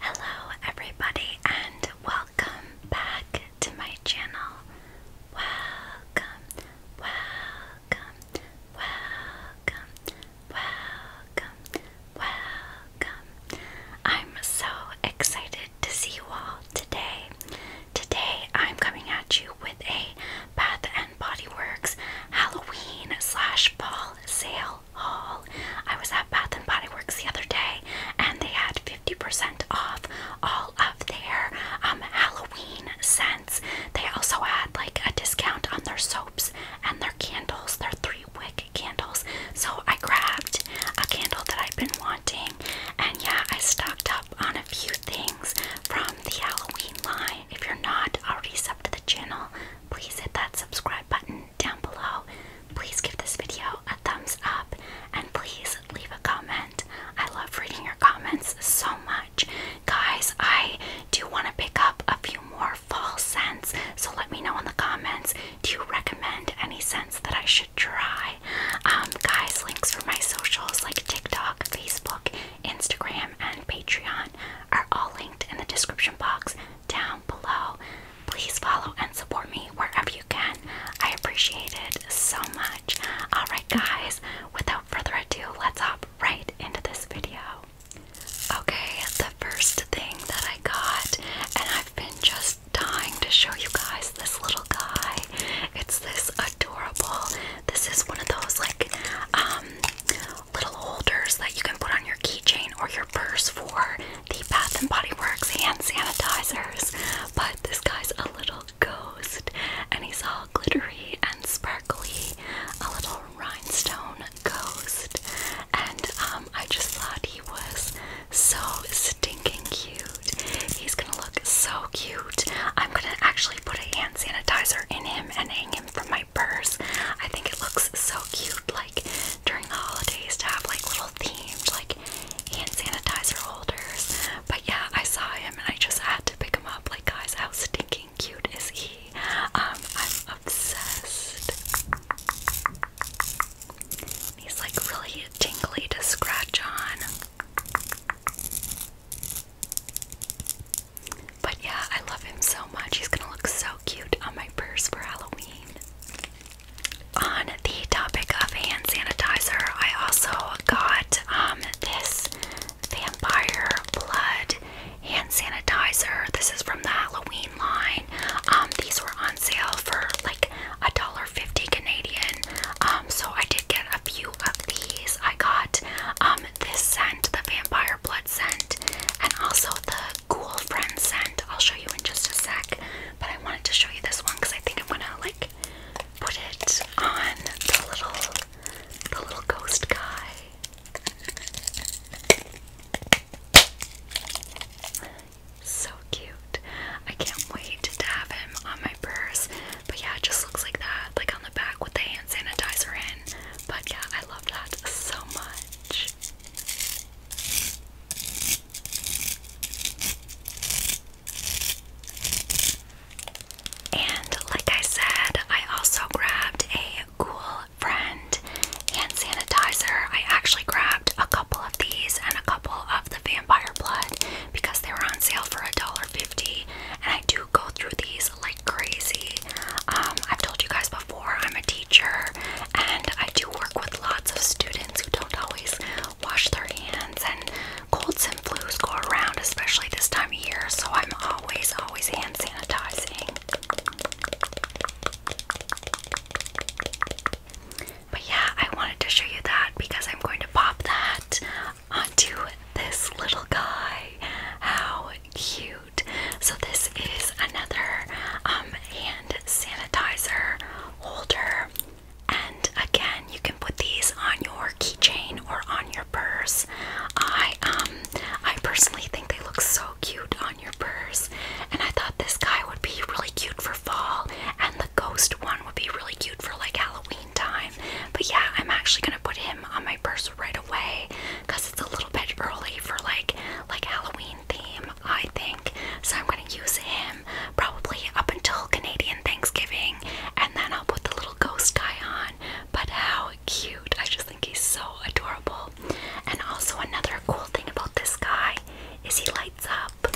Hello, everybody, and Welcome back to my channel. Welcome, welcome, welcome, welcome, welcome. I'm so excited to see you all today. Today I'm coming at you with a Bath and Body Works Halloween slash fall sale haul. I was at Bath and Body Works the other day, and they had 50% off all of their um, Halloween scents. They also had like a discount on their soaps and their candles, their three wick candles. So I grabbed a candle that I've been wanting, and yeah, I stocked up on a few things from the Halloween line. If you're not already sub to the channel, please hit that subscribe button down below. Please give this video a thumbs up and please leave a comment. I love reading your comments so much. Guys, I do want to pick up a few more fall scents, so let me know in the comments do you recommend any scents that I should try? Um, guys, links for my socials like TikTok, Facebook, Instagram, and Patreon are all linked in the description box down below. Please follow and support me wherever you can. I appreciate it so much. Alright, guys, without further ado, let's hop right into this video. Okay, the first thing that I got, and I've been just dying to show you guys this little guy. It's this adorable, this is one of those like um, little holders that you can put on your keychain or your purse for the Bath and Body Works hand sanitizers, but this guy's a little ghost and he's all glittery and sparkly, a little rhinestone ghost. And um, I just thought he was so stinking cute. He's gonna look so cute. I'm gonna actually put a hand sanitizer in him and hang him from my purse. I think it looks so cute, like during the holidays, to have like little themed, like hand sanitizer holders. But yeah, I saw him and I just had to pick him up. Like, guys, how stinking cute is he? Um, I'm obsessed. He's like really tingly to scratch on. But yeah, I love him so much. He's gonna look so cute on my purse for Halloween on the topic of hand sanitizer, I also got um, this vampire blood hand sanitizer. This is from the Halloween line. Um, these were on sale for like a dollar fifty Canadian. Um, so I did get a few of these. I got um, this scent, the vampire blood scent, and also the Cool Friend scent. I'll show you in just a sec but I wanted to show you this one because I think I'm gonna like put it on the little the little ghost guy. So cute. I can't wait to have him on my purse. But yeah, it just looks like that, like on the back with the hand sanitizer in. But yeah, I love that so much. And like I said, I also grabbed a cool friend hand sanitizer. I actually grabbed a couple of these and a couple of the vampire blood because they were on sale for $1.50. And I do go through these like crazy. Um, I've told you guys before, I'm a teacher and I do work with lots of students who don't always wash their hands, and colds and flus go around, especially this time of year, so I'm always, always hand sanitizing. But yeah, I wanted to show you that because I'm going to pop that onto this little guy. How cute! So, this is another um, hand sanitizer holder. And again, you can put these on your keychain or on your purse. I um I personally think they look so cute on your purse. And I thought this guy would be really cute for fall and the ghost one would be really cute for like Halloween time. But yeah, I'm actually going to put him on my purse right away cuz it's a little bit early for like like Halloween theme. I think. So I'm gonna use him probably up until Canadian Thanksgiving and then I'll put the little ghost guy on. But how cute! I just think he's so adorable. And also, another cool thing about this guy is he lights up.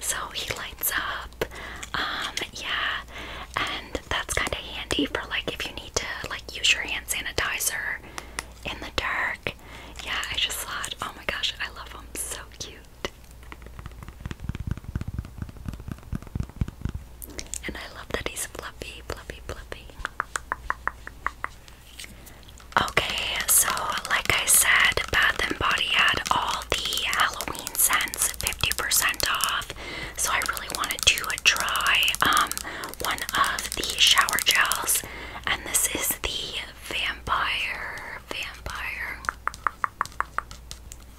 So he lights up. Um, yeah, and that's kind of handy for like if you need to like use your hand sanitizer in the dark. Yeah, I just thought, oh my gosh, I love him. So cute. And I love that he's fluffy, fluffy, fluffy. Okay, so like I said, Bath and Body had all the Halloween scents 50% off. So I really wanted to try um, one of the shower gels. And this is the Vampire, vampire.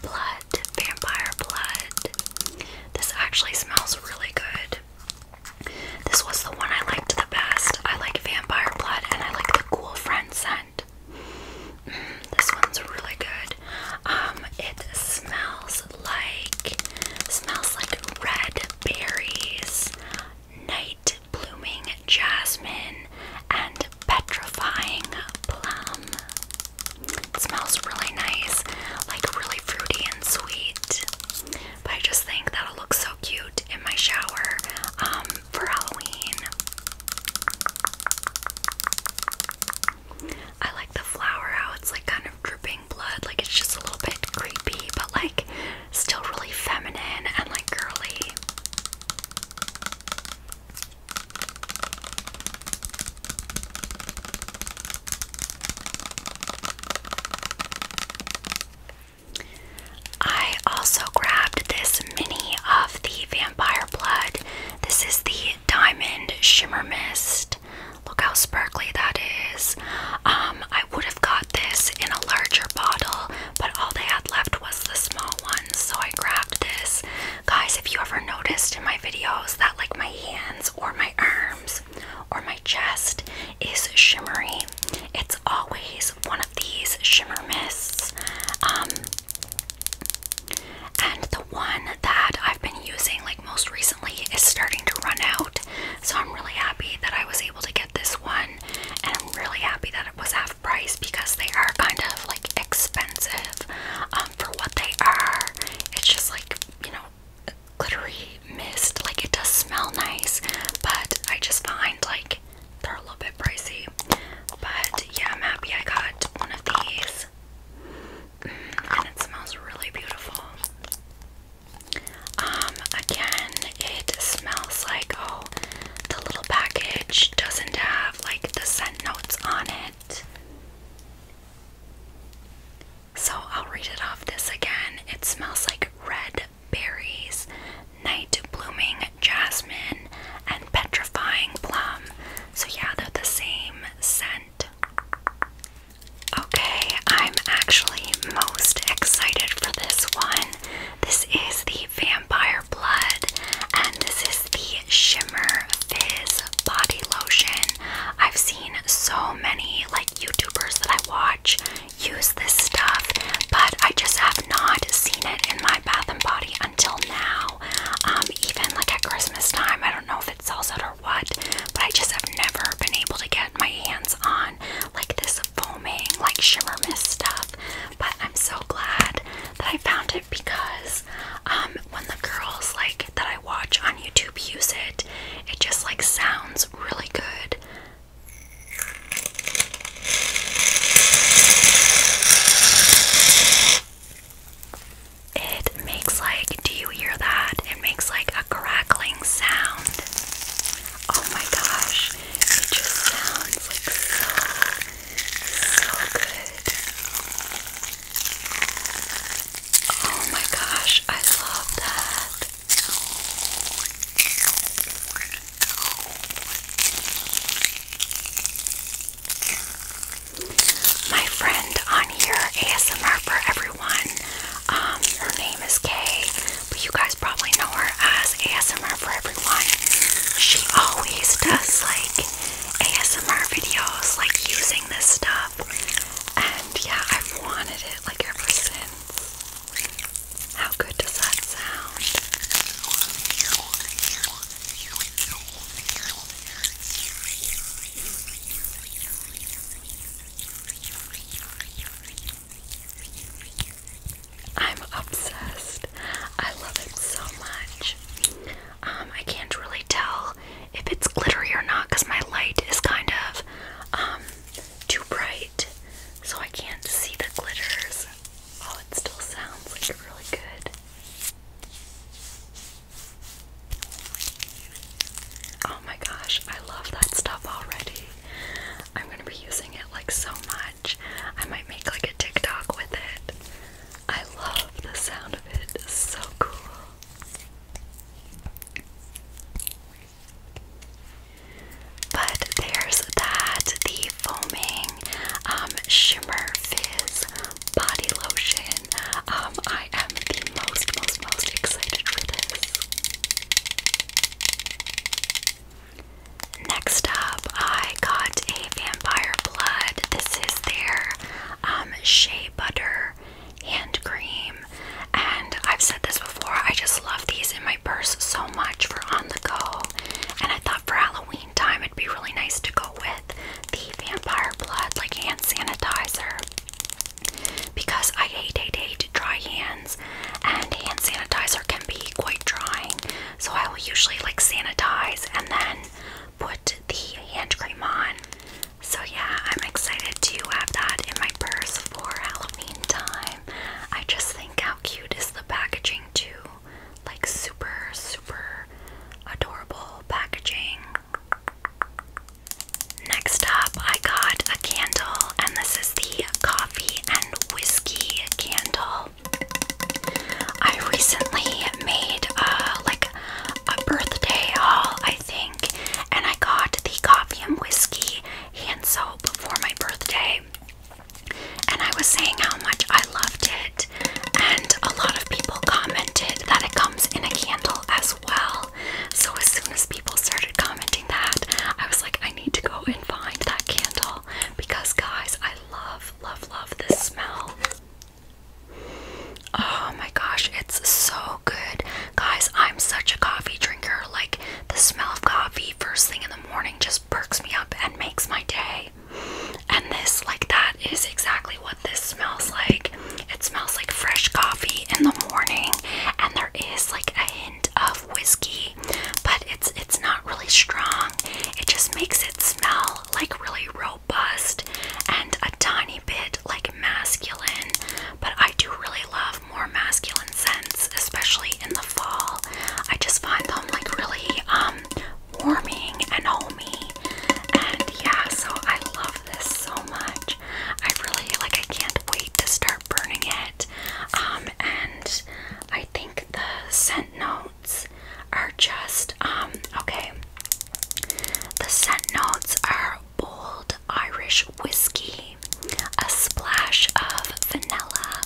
Blood, vampire blood. This actually smells really good. This was the one I liked the best. I like vampire blood and I like the cool friend scent. Mm, this one's really good. Um, it smells like smells like red berries, night blooming jasmine, and petrifying plum. smells really nice, like really fruity and sweet. But I just think that'll look so cute in my shower um, for Halloween. I like the flower, how it's like kind of dripping blood, like it's just a little bit creepy, but like still really feminine and like girly. I also grabbed this mini of the Vampire Blood. This is the Diamond Shimmer Mist. Look how sparkly that is. Um, I would have got this in a larger bottle, but all they had left was the small one, so I grabbed this. Guys, if you ever noticed in my videos that like my hands or my arms or my chest is shimmery, it's always one of these shimmer mists. Um, and the one that I've been using like most recently is starting to run out, so I'm really happy that I was able to get this one and I'm really happy that it was half price because they are kind of like expensive um, for what they are. It's just like, you know, glittery mist. Like it does smell nice, but I just find like they're a little bit pricey. But yeah, I'm happy I got one of these. Mm, and it smells really beautiful. Um, again, it smells like, oh, the little package doesn't have like the scent notes on it. So I'll read it off this again. It smells like red berries, night blooming jasmine, and petrifying plum. So, yeah, they're the same scent. Okay, I'm actually most excited for this one. This is the vampire blood, and this is the Shimmer Fizz body lotion. I've seen so many like YouTubers that I watch use this stuff, but I just have not seen it in my Bath and Body until now. Um, even like at Christmas time, I don't know if it sells out or what, but I just have never been able to get my hands on like this foaming, like shimmer mist stuff. But I'm so glad that I found it because um, when the girls like that I watch on YouTube use it, it just like sounds really good. It makes like, do you hear that? It makes like a crackling sound. Oh my gosh, it just sounds like so, so good. Oh my gosh, I love that. My friend on here, ASMR for everyone. Um, her name is Kay, but you guys probably know her as ASMR for she always does like ASMR videos, like using this stuff. And yeah, I've wanted it like ever since. How good does that sound? I'm obsessed. I love it so much. Um, I can't really tell if it's glittery or not because my light is kind of um, too bright, so I can't see the glitters. Oh, it still sounds like really good. Oh my gosh, I love that stuff already. I'm gonna be using it like so much. I might make like a TikTok with it. I love the sound of it. It's so cool. But there's that the foaming um, shimmer fizz body lotion. Um, I am the most, most, most excited for this. Next up, I got a Vampire Blood. This is their um, Shea Butter Hand Cream. And I've said this before, I just love these in my purse so much for on the go. And I thought for Halloween time, it'd be really nice to go with the Vampire Blood, like hand sanitizer. Because I hate, hate, hate dry hands, and hand sanitizer can be quite drying. So I will usually like sanitize and then put the hand cream on. So yeah, I'm excited to have that in my purse for Halloween time. I just think how cute is the packaging too. Like super, super adorable packaging. Next up, I got a candle, and this is the coffee and whiskey candle. I recently made uh, like a birthday haul, I think, and I got the coffee and whiskey hand soap for my birthday. And I was saying how much I loved it, and a lot of people commented that it comes in a candle as well. So as soon as people started commenting that, I was like, I need to go and find that candle because guys, I love love love the smell. Oh my gosh, it's so good. Guys, I'm such a coffee drinker. Like the smell of coffee first thing in the morning just perks me up and makes my day. And this like that is exactly what this smells like. It smells like fresh coffee in the morning and there is like a hint of whiskey but it's it's not really strong. It just makes it smell like really robust and a tiny bit like masculine. But I do really love more masculine scents, especially in the fall. I just find them like really um warming and homey. And yeah, so I love this so much. I really like I can't wait to start burning it. Um and I think the scent no are just um, okay. The scent notes are bold Irish whiskey, a splash of vanilla,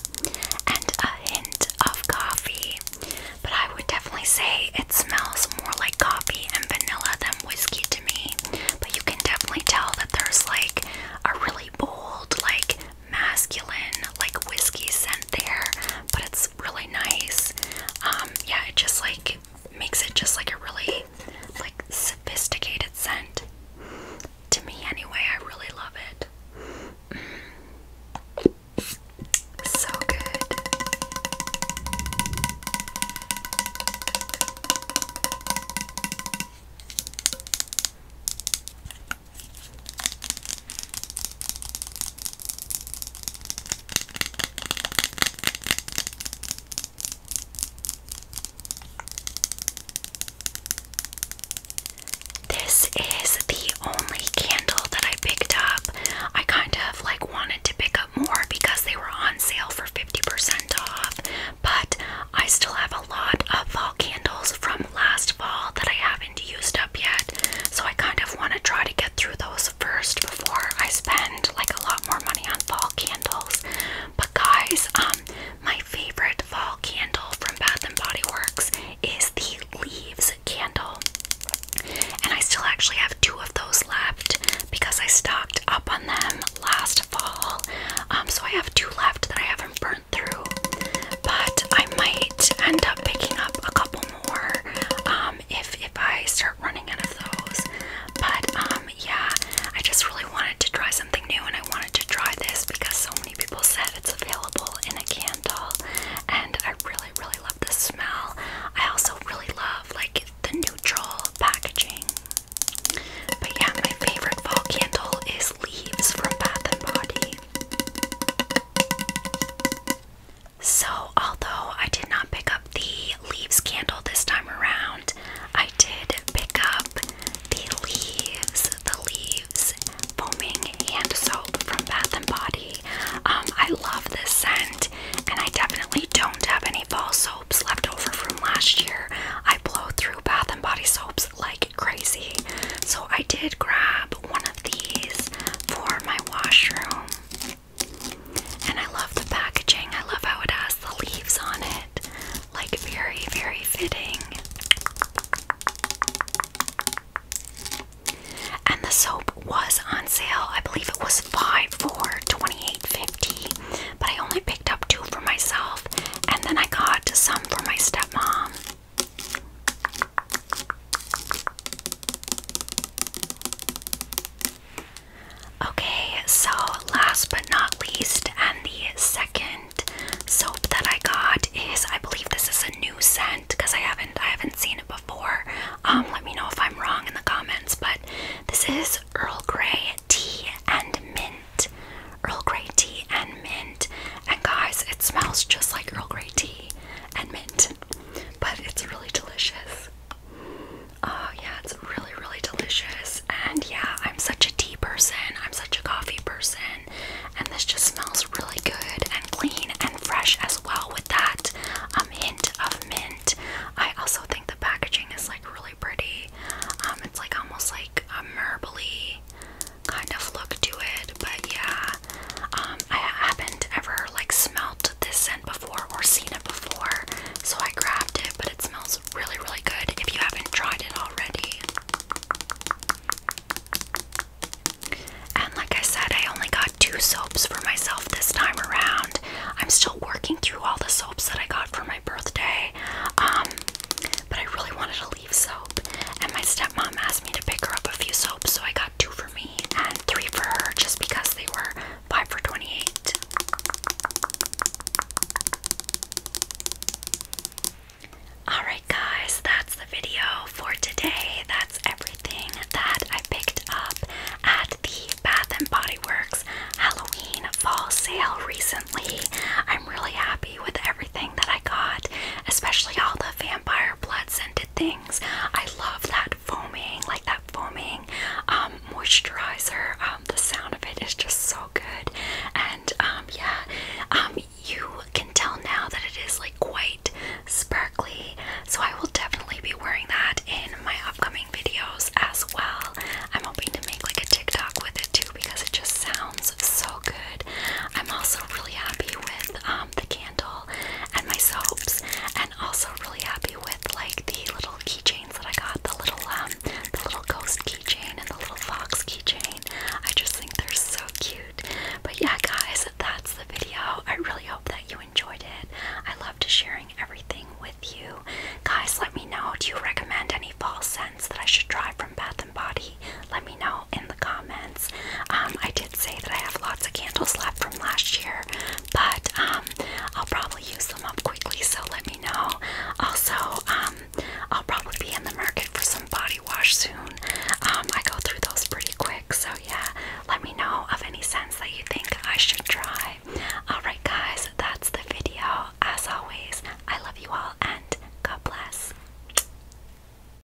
and a hint of coffee. But I would definitely say it smells more like coffee and vanilla than whiskey to me. But you can definitely tell that there's like a really bold, like masculine like whiskey scent there, but it's really nice. Um, yeah, it just like makes it just like a really like sophisticated scent. To me anyway, I really love it. Mm. So good. This is the only candle that I picked up. I kind of like wanted to pick up more because they were on sale for 50% off, but I still have a lot of fall candles from last fall that I haven't used up yet. So I kind of want to try to get through those first before I spend like a lot more money on fall candles. But guys, um my favorite fall candle from Bath and Body Works is the leaves candle. And I still actually have two of those left because I stocked up on them last fall. Um so I have two left that I haven't burned through, but I might end up picking up a couple more um, if if I start running out of those. But um, yeah, I just really wanted to try something new, and I wanted to try this because so many people said it's available in a candle, and I really really love the smell. I also really love like the neutral packaging. But yeah, my favorite fall candle is Leaves from Bath and Body. So, although I did not pick up the leaves candle this time around, I did pick up the leaves, the leaves foaming hand soap from Bath and Body. Um, I love this scent, and I definitely don't have any fall soaps left over from last year. I blow through Bath and Body soaps like crazy, so I did grab one these for my washroom. And I love the packaging. I love how it has the leaves on it. Like, very, very fitting. And the soap was on sale. I believe it was 5 for 28 50 But I only picked up two for myself. And then I got some for my stepmom. Okay, so last but not least, and the second soap that I got is I believe this is a new scent because I haven't I haven't seen it before. Um, let me know if I'm wrong in the comments, but this is Earl Grey tea and mint. Earl Grey tea and mint. And guys, it smells just like Earl Grey tea and mint, but it's really delicious. Oh, yeah, it's really, really delicious. And yeah, I'm such a tea person, I'm such a coffee person, and this just smells really good and clean and fresh as well with that um, hint of mint. I also think the packaging is like really pretty. Um, it's like almost like a marbly kind of look to it, but yeah, um, I haven't ever like smelled this scent before or seen it before, so I grabbed it, but it smells really, really good if you haven't tried it already. And like I said, I only got two soaps for myself this time around. I'm still working through all the soaps that I got for my birthday. Um, but I really wanted to leave soap, and my stepmom asked me to pick her up a few soaps, so I got two for me and three for her just because they were 5 for 28. Alright, guys, that's the video for today. That's everything that I picked up at the Bath and Body Works Halloween fall sale recently. I'm really happy with everything that I got, especially all the vampire blood scented things. I love that foaming, like that foaming um, moisturizer. Um, the sound of it is just so good. And um, yeah, you can tell now that it is like quite sparkly. So I will definitely be wearing that in my upcoming videos as well. I'm hoping to make like a TikTok with it too because it just sounds so good. I'm also really happy with um, the candle and my soaps, and also really happy with like the little keychains that I got, the little um, the little ghost keychain and the little fox keychain. I just think they're so cute. But yeah, guys, that's the video. I really hope that you enjoyed it. I loved sharing everything with you. Guys, let me know. Do you recommend any fall scents that I should try from Bath and Body? Let me know in the comments. Um, I did say that I have lots of candles left from last year, but um, I'll probably use them up quickly, so let me know. Also, um, I'll probably be in the market for some body wash soon. I go through those pretty quick, so yeah, let me know of any scents that you think I should try. Alright, guys, that's the video. As always, I love you all and God bless.